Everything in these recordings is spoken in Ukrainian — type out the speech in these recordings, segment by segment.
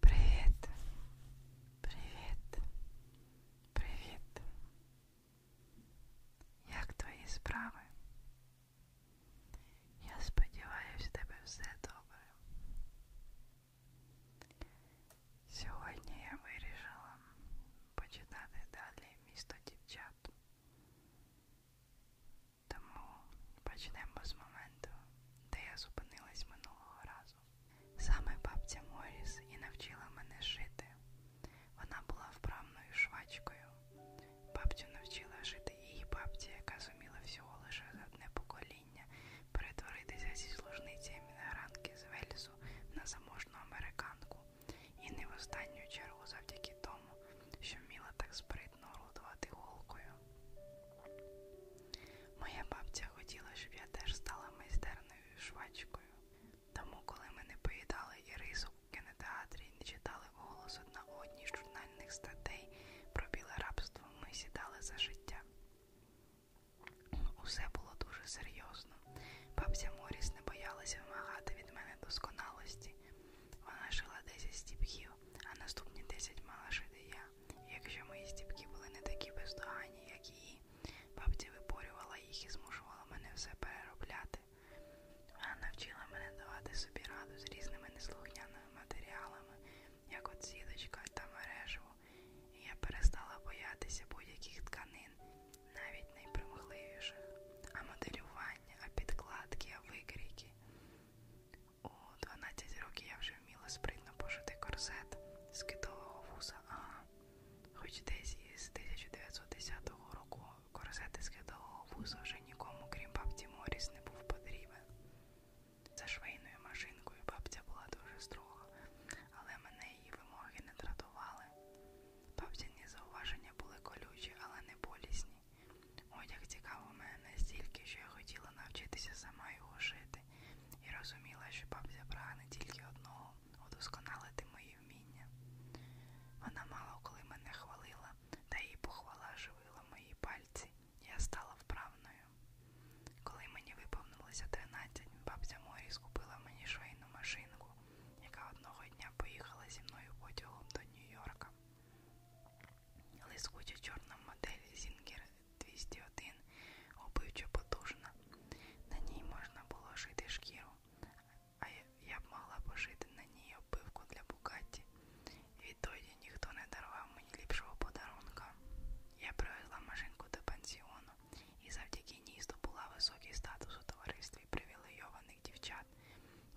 Привіт, привіт, привіт. Як твої справи? Я сподіваюся, в тебе все добре. Сьогодні я вирішила почитати далі місто дівчат. Тому почнемо з моменту, де я зупинилась минулого разу одразу. Саме бабця Моріс і навчила мене шити. Вона була вправною швачкою. Бабцю навчила жити її бабця, яка зуміла всього лише за одне покоління перетворитися зі служниці емігрантки з Вельсу на заможну американку, і не в останню чергу завдяки тому, що вміла так спритно орудувати голкою. Моя бабця хотіла, щоб я теж стала майстерною швачкою. Тому, коли ми не поїдали і рису в кінотеатрі, і не читали голос одна одній з журнальних статей про біле рабство, ми сідали за життя. Усе було дуже серйозно. Бабця Моріс не боялася вимагати від мене досконалості. Вона шила 10 стіпхів, а наступні 10 мала шити я. Якщо мої стіпки були не такі бездоганні, як її, бабця виборювала їх і змушувала мене все переробляти. Вона навчила мене давати собі раду з різними неслухняними матеріалами, як от сіточка та мережево, і я перестала боятися будь-яких тканин, навіть найпримхливіших, а моделювання, а підкладки, а викрійки. У 12 років я вже вміла спритно пошити корсет з китового вуса, ага. Хоч десь із 1910 року корсет з китового вуса вже нікому, крім бабці Моріс, не був потрібен. За швейною машинкою бабця була дуже строга, але мене її вимоги не дратували. Бабціні зауваження були колючі, але не болісні. Одяг цікавив мене стільки, що я хотіла навчитися сама його шити, і розуміла, що бабця прагне тільки одного удосконалити мої вміння. Вона мало коли мене хвалила, та її похвала живила мої пальці. Я стала вправною. Коли мені виповнилося 13, бабця Морі скупила мені швейну машинку, яка одного дня поїхала зі мною потягом до Нью-Йорка. Лискуча чорна модель Зінгер 201 обивчо потужна. На ній можна було шити шкіру, а я б могла пошити на ній оббивку для Букатті. Відтоді ніхто не дарував мені ліпшого подарунка. Я привезла машинку до пансіону і завдяки ній здобула високий статус у товаристві привілейованих дівчат,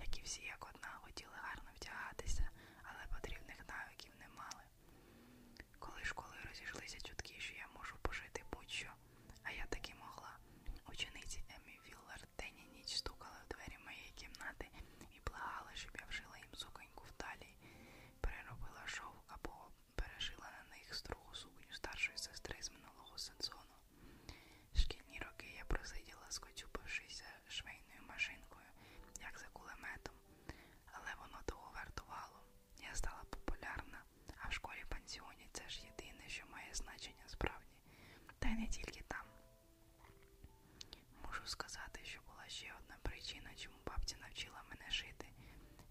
які всі як одна хотіли гарно вдягатися, але потрібних навиків батьків не мали. Коли школи розійшлися чутки, що я можу пожити будь-що, а я таки могла. Учениці Емі Віллер день і ніч стукала в двері моєї кімнати і благала, щоб я вшила їм суконьку в талії, переробила шов або перешила на них строгу сукню старшої сестри з минулого сезону. Шкільні роки я просиділа, скочупившися швейною машинкою, як за кулеметом, але воно того вартувало. Я стала популярна, а в школі пансіоні це ж єдине, що має значення справді, та й не тільки там. Можу сказати, що була ще одна причина, чому бабця навчила мене шити.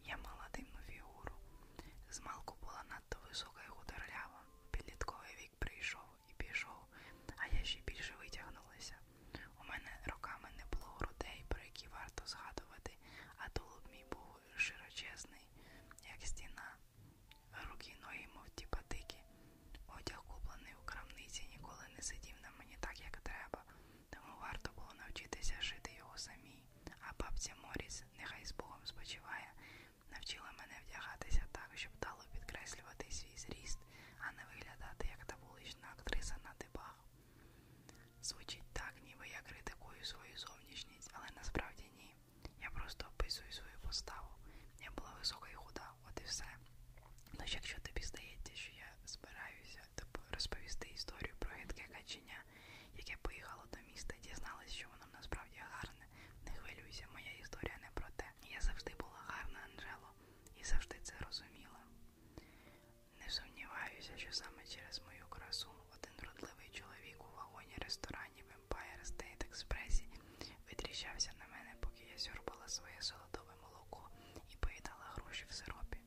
Я мала дивну фігуру. Змалку була надто висока і худорлява. Підлітковий вік прийшов, і пішов, а я ще більше витягнулася. У мене роками не було грудей, про які варто згадувати, а тулуб мій був широчезний, як стіна. Руки й ноги, мов ті патики. Одяг, куплений у крамниці, ніколи не сидів на мені так, як треба, тому варто було навчитися шити його самій. А бабця Моріс, нехай з Богом спочиває, навчила мене вдягатися так, щоб дало підкреслювати свій зріст а не виглядати як та вулична актриса на дебах. Звучить так, ніби я критикую свою зовнішність, але насправді ні. Я просто описую свою поставу. Я була висока і худа, от і все. Тож, якщо тобі здається, що я збираюся розповісти історію про гидке каченя, яке поїхало до міста, дізналась, що воно насправді гарне. Не хвилюйся, моя історія не про те. Я завжди була гарна, Анжело і завжди це розуміла. Не сумніваюся, що саме через мою красу один вродливий чоловік у вагоні ресторанів Empire State Express відріщався на мене, поки я сьорбала своє солодове молоко і поїдала гроші в сиропі.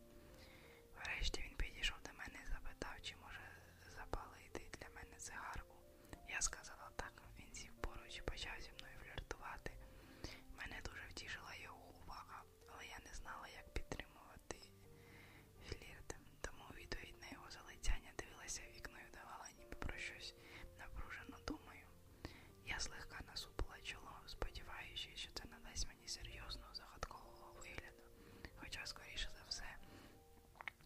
Врешті він підійшов до мене і запитав, чи може запалити для мене цигарку. Я сказала так, він сів поруч і почав зі мною фліртувати. Мене дуже втішила його увага, але я не знала, як підтримувати флірт, тому відповідь на його залицяння дивилася в вікно і давала ніби про щось напружено думаю. Я злегка насупила чоло, сподіваючись, що це надасть мені серйозного загадкового вигляду, хоча, скоріше за все,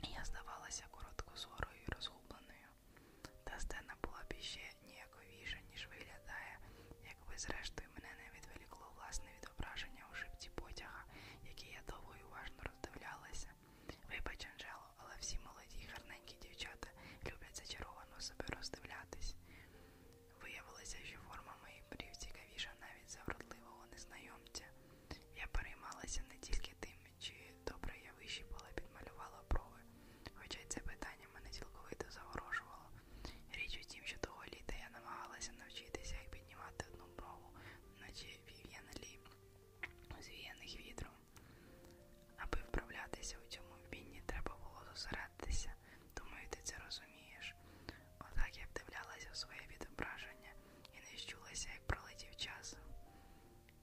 я здавалася короткозорою і розгубленою. Та сцена була б іще ніяковіша, ніж виглядає, якби зрештою мене не відволікло власне відображення у шипці потяга, який я довго і уважно роздивлялася. Вибач, Анжело, але всі молоді й гарненькі дівчата люблять зачаровано себе роздивлятись. Виявилося, що форма моїх брів цікавіша навіть за вродливого незнайомця. Я переймалася не тільки тим, чи добре я вищипала і підмалювала брови, хоча й це питання мене цілковито заворожувало. Річ у тім, що того літа я намагалася навчитися, як піднімати одну брову, наче вів'яна лі, звіяних вітром. Аби вправлятися у цьому вмінні, треба було зосередитися. Думаю, ти це розумієш. Отак я вдивлялася в своє відображення і не щулася, як пролетів час.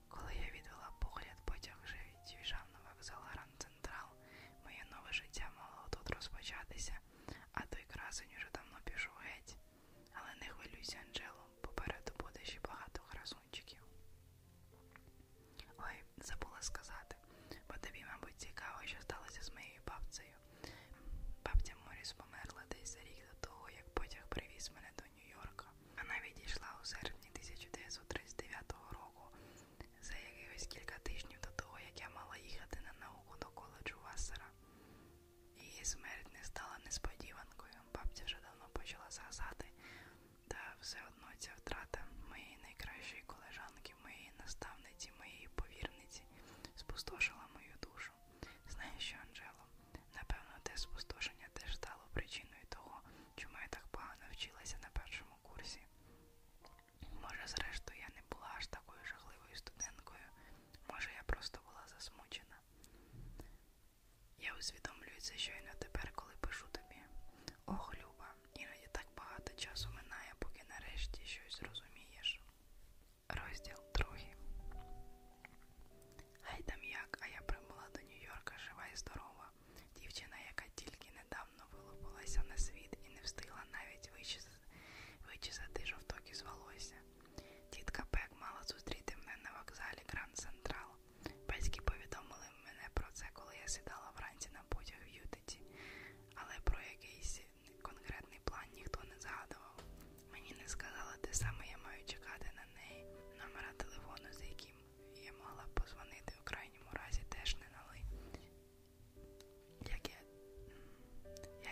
Коли я відвела погляд, потяг вже від'їжджав на вокзал Гранд Централ, моє нове життя мало тут розпочатися, а той красень уже давно пішов геть. Але не хвилюйся, Анджело, попереду буде ще багато красунчиків. Ой, забула сказати, бо тобі, мабуть, цікаво, що сталося з моєю бабцею. Бабця Моріс померла десь за рік до того, як потяг привіз мене до Нью-Йорка. Вона відійшла у серпні 1939 року, за якихось кілька тижнів до того, як я мала їхати на науку до коледжу Вассера. Її смерть не стала несподіванкою. Бабця вже давно почала згасати, та все одно ця втрата моєї найкращої колежанки, моєї наставниці, моєї повірниці спустошила мою душу. Знаєш що, Анжело? Напевно, те спустошення теж стало причиною того, чому я так погано вчилася на першому курсі. Може, зрештою, я не була аж такою жахливою студенткою, може, я просто була засмучена. Я усвідомлюю це щойно тепер, коли пишу тобі. Ох, Люба, іноді так багато часу минає, поки нарешті щось зрозумієш. Розділ другий. Гай там як, а я прибула до Нью-Йорка жива і здорова. Дівчина, яка тільки недавно вилупилася на світ і не встигла навіть вичисати, вичисати жовток із волосся. Тітка Пек мала зустріти мене на вокзалі Гранд Централ. Батьки повідомили мене про це, коли я сідала вранці на потяг в Ютиті, але про якийсь конкретний план ніхто не згадував. Мені не сказали, де саме я маю чекати на неї. Номера телефону, за яким я могла б позвонити у крайньому разі, теж не дали. Як і,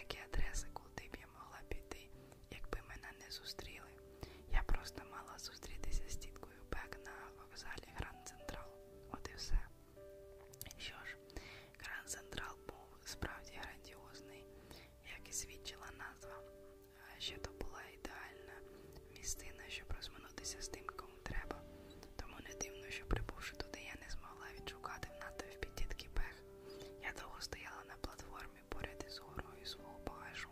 як і адреси, куди б я могла піти, якби мене не зустріли. Я просто мала зустрітися з тіткою Бек на вокзалі Гранд Централ. От і все. Що ж, Гранд Централ був справді грандіозний як і свідчила назва. Ще то була ідеальна містина, щоб розминутися з тим, кому треба. Тому не дивно, що прибувши туди, я не змогла відшукати в натовпі дітки пех. Я довго стояла на платформі поряд із горою свого багажу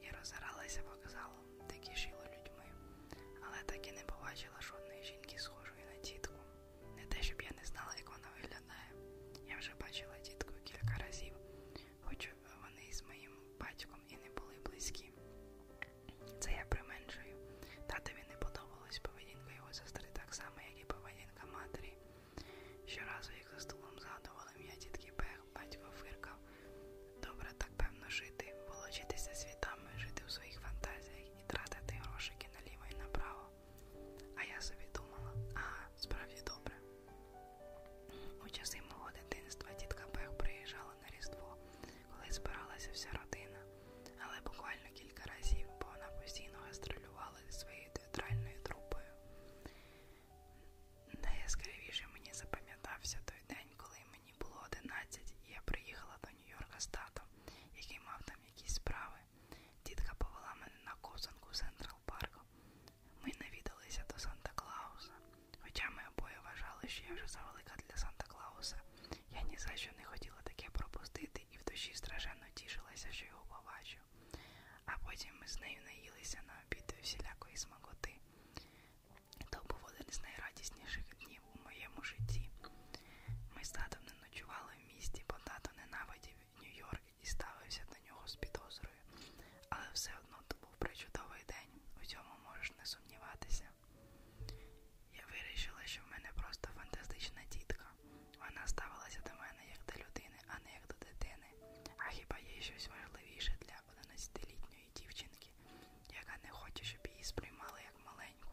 і роззиралася вокзалом, де кишіло людьми, але так і не побачила жодної жінки, схожої на тітку. Не те, щоб я не знала, як вона виглядає. Я вже бачила тітку кілька разів, хоч вони з моїм батьком і не були близькі. Це я применшую. Татові не подобалась поведінка його сестри, так само, як і поведінка матері. Щоразу їх за столом згадували м'я тітки Бех, батько фиркав. Добре, так певно жити, волочитися світами, жити в своїх фантазіях і тратити грошики наліво і направо. А я собі думала, ага, справді добре. У часи мого дитинства тітка Бех приїжджала на Різдво, коли збиралася вся родина, але буквально кілька разів, бо вона постійно гастролювала зі своєю театральною трупою. Найяскравіше мені запам'ятався той день, коли мені було 11, і я приїхала до Нью-Йорка з татом, який мав там якісь справи. Тітка повела мене на ковзанку Централ Парку. Ми навідалися до Санта-Клауса, хоча ми обоє вважали, що я вже завелика для Санта-Клауса. Я ні за що не хотіла таке пропустити і в душі страшенно тішилася, що його побачу. А потім ми з нею наїлися на обід всілякої смакоти. То був один з найрадісніших днів у моєму житті. Ми з татом не ночували в місті, бо тато ненавидів Нью-Йорк і ставився до нього з підозрою, але все одно то був причудовий день, у цьому можеш не сумніватися. Я вирішила, що в мене просто фантастична тітка. Вона ставилася до мене як до людини, а не як до дитини. А хіба є щось важливіше для 11-літньої дівчинки, яка не хоче, щоб її сприймали як маленьку?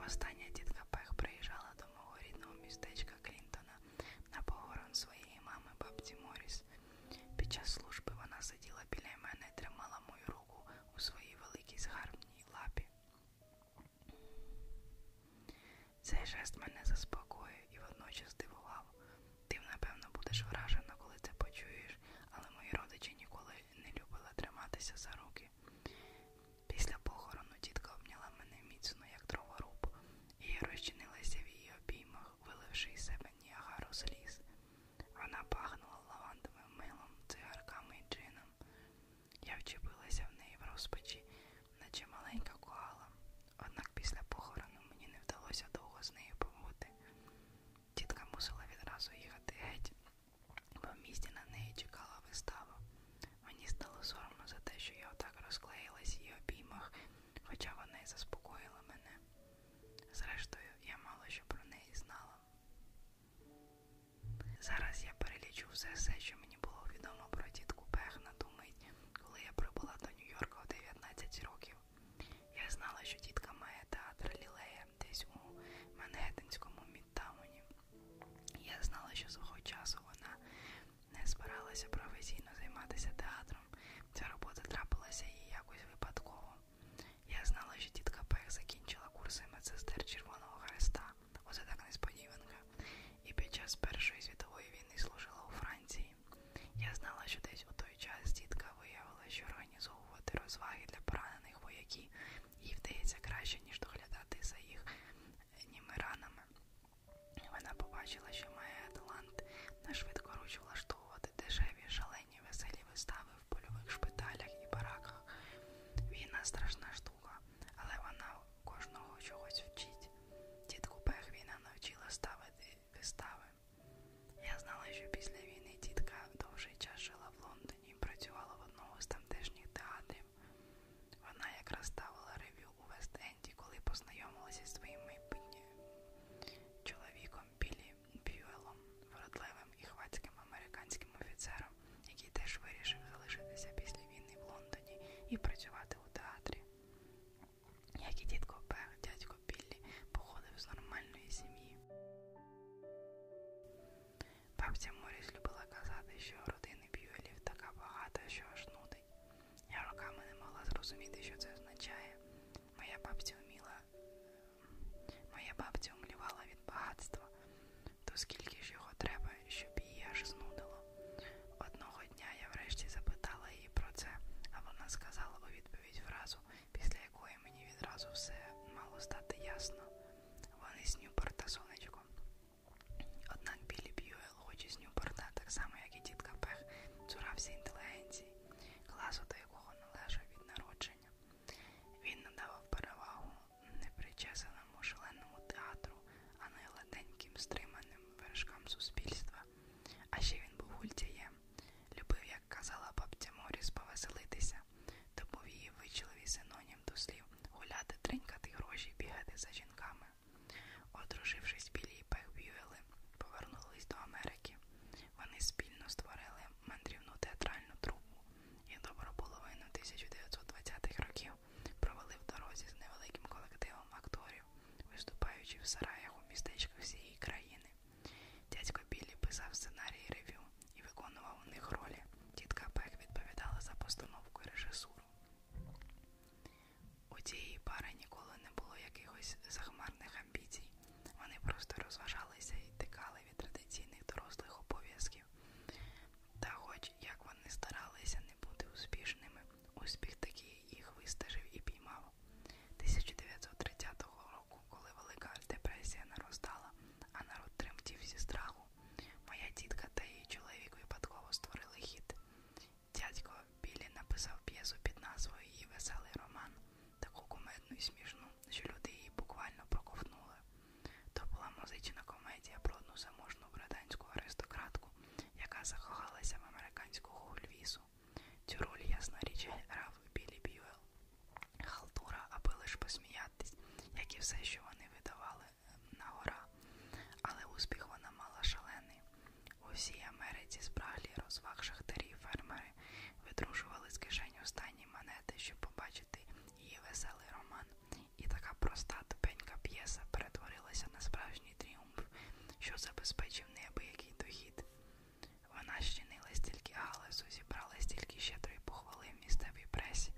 Востаннє тітка Пех приїжджала до мого рідного містечка Клінтона на похорон своєї мами бабці Моріс. Під час служби вона сиділа біля мене і тримала мою руку у своїй великій згарбній лапі. Цей жест мене заспокоює і водночас здивував. Ти, напевно, будеш вражена, коли це почуєш, але мої родичі ніколи не любили триматися за руки. Після похорону тітка обняла мене міцно, як дроворуб, і я розчинилася в її обіймах, виливши із себе ніагару сліз. Вона пахнула лавандовим милом, цигарками і джином. Я вчепилася в неї в розпачі, наче маленька коала. Однак після похорону мені не вдалося довго з нею побути. Тітка мусила відразу їхати геть, бо в місті на неї чекала вистава. Мені стало соромно за те, що я отак розклеїлась в її обіймах, хоча вона й заспокоїла мене. Зрештою, я мало що про неї знала. Зараз я перелічу все, все, що мені було відомо про тітку Пехна ту мить, коли я прибула до Нью-Йорка у 19 років. Я знала, що тітка має театр Лілея десь у Манхеттенському Мідтауні. Я знала, що свого часу вона не збиралася професійно займатися театром. Ця робота трапилася їй якось випадково. Я знала, що тітка Пех закінчила курси медсестер Червоного Хреста, оце так несподіванка, і під час Першої світової війни служила у Франції. Я знала, що десь у той час тітка виявила, що організовувати розваги для поранених вояків їй вдається краще, ніж доглядати за їх німи ранами. Вона побачила, що має талант на швидкоруч влаштовувати дешеві, шалені, веселі вистави в польових шпиталях і бараках. Війна страшна штука, але вона кожного чогось вчить. Тітку Пех війна навчила ставити вистави. Я знала, що після війни тітка довший час жила в Лондоні і працювала в одному з тамтешніх театрів. Вона якраз ставила рев'ю у Вест-Енді, коли познайомилася зі своїм майбутнім чоловіком Білі Б'юелом, вродливим і хвацьким американським офіцером, який теж вирішив залишитися після війни в Лондоні і працювати у театрі. Як і дідко Пех, дядько Біллі походив з нормальної сім'ї. Бабця Моріс любила казати, що родини б'юелів така багата, що аж нудить. Я роками не могла зрозуміти, що це означає. Моя бабця вміла, ем, моя бабця умлівала від багатства, то скільки ж його треба, щоб її аж знудило. Одного дня я врешті запитала її про це, а вона сказала у відповідь фразу, після якої мені відразу все мало стати ясно. Вони снюпер та сонечко. Однак Білі Б'юел, хоч і з Ньюпорта, так само, як і дітка Пех, цурався інтелігенції, класу до якого належав від народження. Він надавав перевагу непричесаному шаленому театру, а не леденьким стриманим вершкам суспільства. А ще він був гультяєм, любив, як казала бабця Моріс, повеселитися, то був її вичливий синонім ним до слів гуляти, тринькати гроші, бігати за жінками. Одружившись, білі і Пех Б'юели повернулись до Америки. Вони спільно створили мандрівну театральну трупу і добру половину 1920-х років провели в дорозі з невеликим колективом акторів, виступаючи в сараях у містечках всієї країни. Дядько Біллі писав сценарії ревю і виконував у них ролі. Тітка Пек відповідала за постановку і режисуру. У цієї пари ніколи не було якихось захмарних амбіцій. Вони просто розважалися і тикали від традиційних дорослих обов'язків. Та хоч як вони старалися не бути успішними, успіх такий їх вистежив і піймав. 1930 року, коли Велика Депресія наростала, а народ тремтів зі страху, Моя тітка та її чоловік випадково створили хід. Дядько Білі написав п'єсу під назвою Її веселий роман, таку кумедну і смішну, що люди її буквально проковтнули. То була музична комедія про одну заможну британську аристократку, яка закохалася в американського гульвісу. Цю роль, ясна річ, грав Білі Б'юел. Халтура, аби лиш посміятись, як і все, що вони видавали нагора, але успіх вона мала шалений. У всій Америці спраглі розваг шахтарі фермери видружували з кишені останні монети, щоб побачити її веселий роман. І така проста тупенька п'єса перетворилася на справжній тріумф, що забезпечив неабиякий дохід. Вона щинила стільки галасу, зібрала стільки щедрої похвали в місцевій пресі,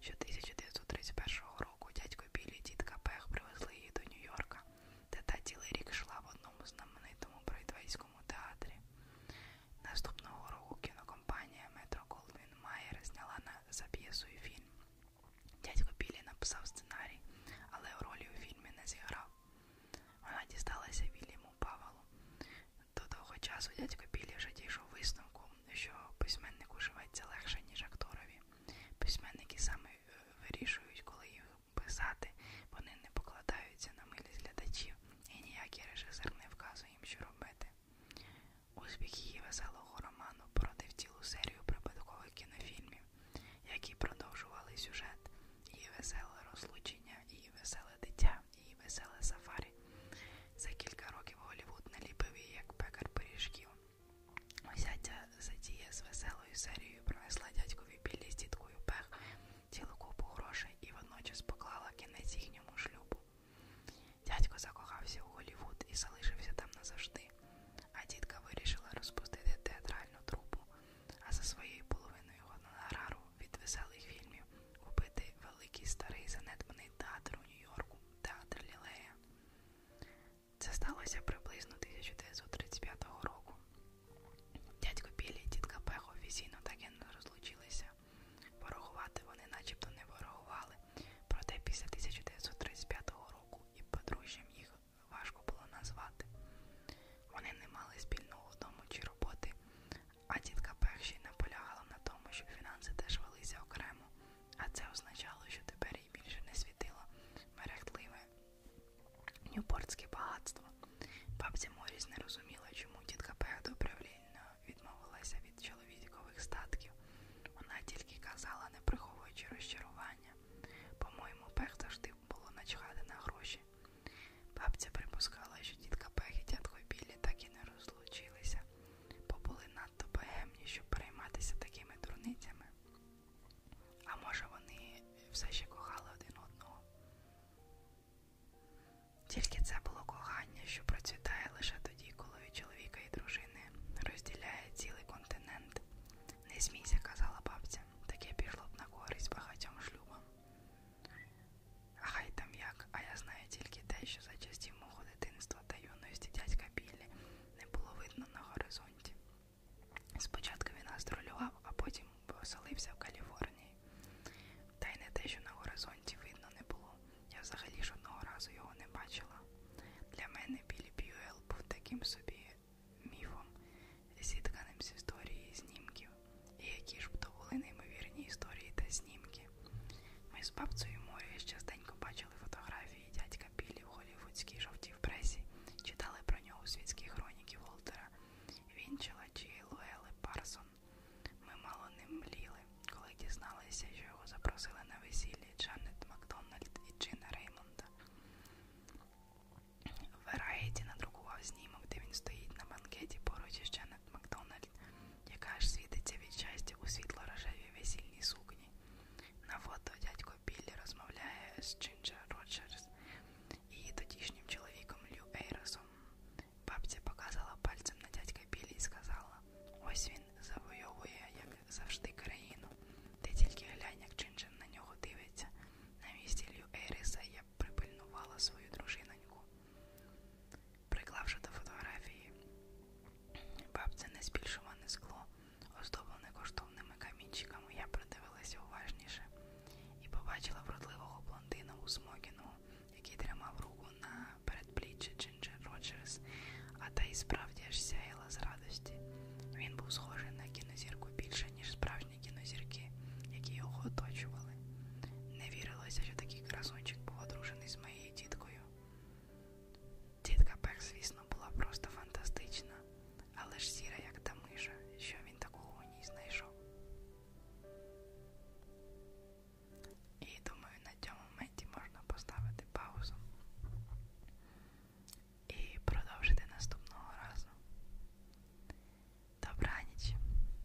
що 1931 року дядько Білі і дідка Пех привезли її до Нью-Йорка, де та цілий рік йшла в одному знаменитому бройдвейському театрі. Наступного року кінокомпанія Метро Голдвін Майер зняла на за п'єсою фільм. Дядько Білі написав сценарій, але ролі у фільмі не зіграв. Вона дісталася Вільяму Павелу, до того часу дядько Білі вже дійшов висновку, що письменнику живеться легше, ніж акторові. Письменники саме вирішують, коли їх писати, вони не покладаються на милість глядачів, і ніякий режисер не вказує їм, що робити. Успіх її веселого роману породив цілу серію припадкових кінофільмів, які продовжували сюжет, її веселе розлучення, її веселе дитя і веселе сафарі. За кілька років Голівуд наліпив її як пекар пиріжків. Осяття Задія з веселою серією принесла дядькові білі з діткою пех цілу купу грошей і водночас поклала кінець їхньому шлюбу. Дядько закохався у Голівуд і залишився там назавжди, а дітка вирішила розпустити театральну трупу, а за своєю половиною гонорару від веселих фільмів купити великий старий занедбаний театр у Нью-Йорку, театр Лілея. Це сталося приблизно 1935 року. Дядько Білі і тітка Пехо офіційно так і не розлучилися. Ворогувати вони начебто не ворогували, проте після 1935 року і подружжям їх важко було назвати. Вони не мали спільного дому чи роботи, а тітка Пекшій наполягала на тому, щоб фінанси теж велися окремо, а це означало, що тепер їй більше не світило мерехтливе нюпортське багатство. Бабця Моріс не розуміла, чому тітка Пех добровільно відмовилася від чоловікових статків. Вона тільки казала, не приховуючи розчарування. По-моєму, Пех завжди було начхати на гроші. Бабця припускала, що тітка Пех і дядько Біллі так і не розлучилися, бо були надто богемні, щоб перейматися такими дурницями. А може, вони все ще кохали один одного. Тільки це було кохання, що процвітає лише тоді, коли від чоловіка і дружини розділяє цілий континент. Не смійся, казала бабця, таке пішло б на користь багатьом шлюбам. Хай там як, а я знаю тільки те, що за часів мого дитинства та юності дядька Біллі не було видно на горизонті. Спочатку він гастролював, а потім оселився в Каліфорнії. Та й не те, що на горизонті видно не було. Я взагалі жодного разу його не бачила. Для мене Біллі Б'юел був таким собі міфом, зітканим з історії знімків. І які ж б то були неймовірні історії та знімки. Ми з бабцею Морі частенько бачили фотографії дядька Білі в голівудській жовтій пресі, читали про нього світські хроніки Волтера, Вінчела чи Луели Парсон. Ми мало не мліли, коли дізналися, що його запросили на весіллі Джанет Макдональд і Джина Реймонда. Вераєті надрукував знімок, де він стоїть на банкеті поруч із Джанет Макдональд, яка аж світиться від щастя у світло рожевій весільній сукні. На фото дядько Біллі розмовляє з Джинджер Роджерс і тодішнім чоловіком Лю Ейросом. Бабця показала пальцем на дядька Біллі і сказала: Ось він завойовує, як завжди, країну. Ти тільки глянь, як Джинджер на нього дивиться. На місці Лю Ейриса я припильнувала свою дружиноньку приклавши до фотографії бабцине збільшуване скло, оздоблене коштовними камінчиками, я придивилася уважніше і побачила вродливого блондина у смокінгу, який тримав руку на передпліччі Джинджер Роджерс, а та й справді аж сяяла з радості. Він був схожий на кінозірку більше, ніж справжні кінозірки, які його оточували. Не вірилося, що таке який красунчик був одружений з моєю діткою. Дітка Пек, звісно, була просто фантастична, але ж сіра, як та миша, що він такого у ній знайшов. І думаю, на цьому моменті можна поставити паузу і продовжити наступного разу. Добраніч!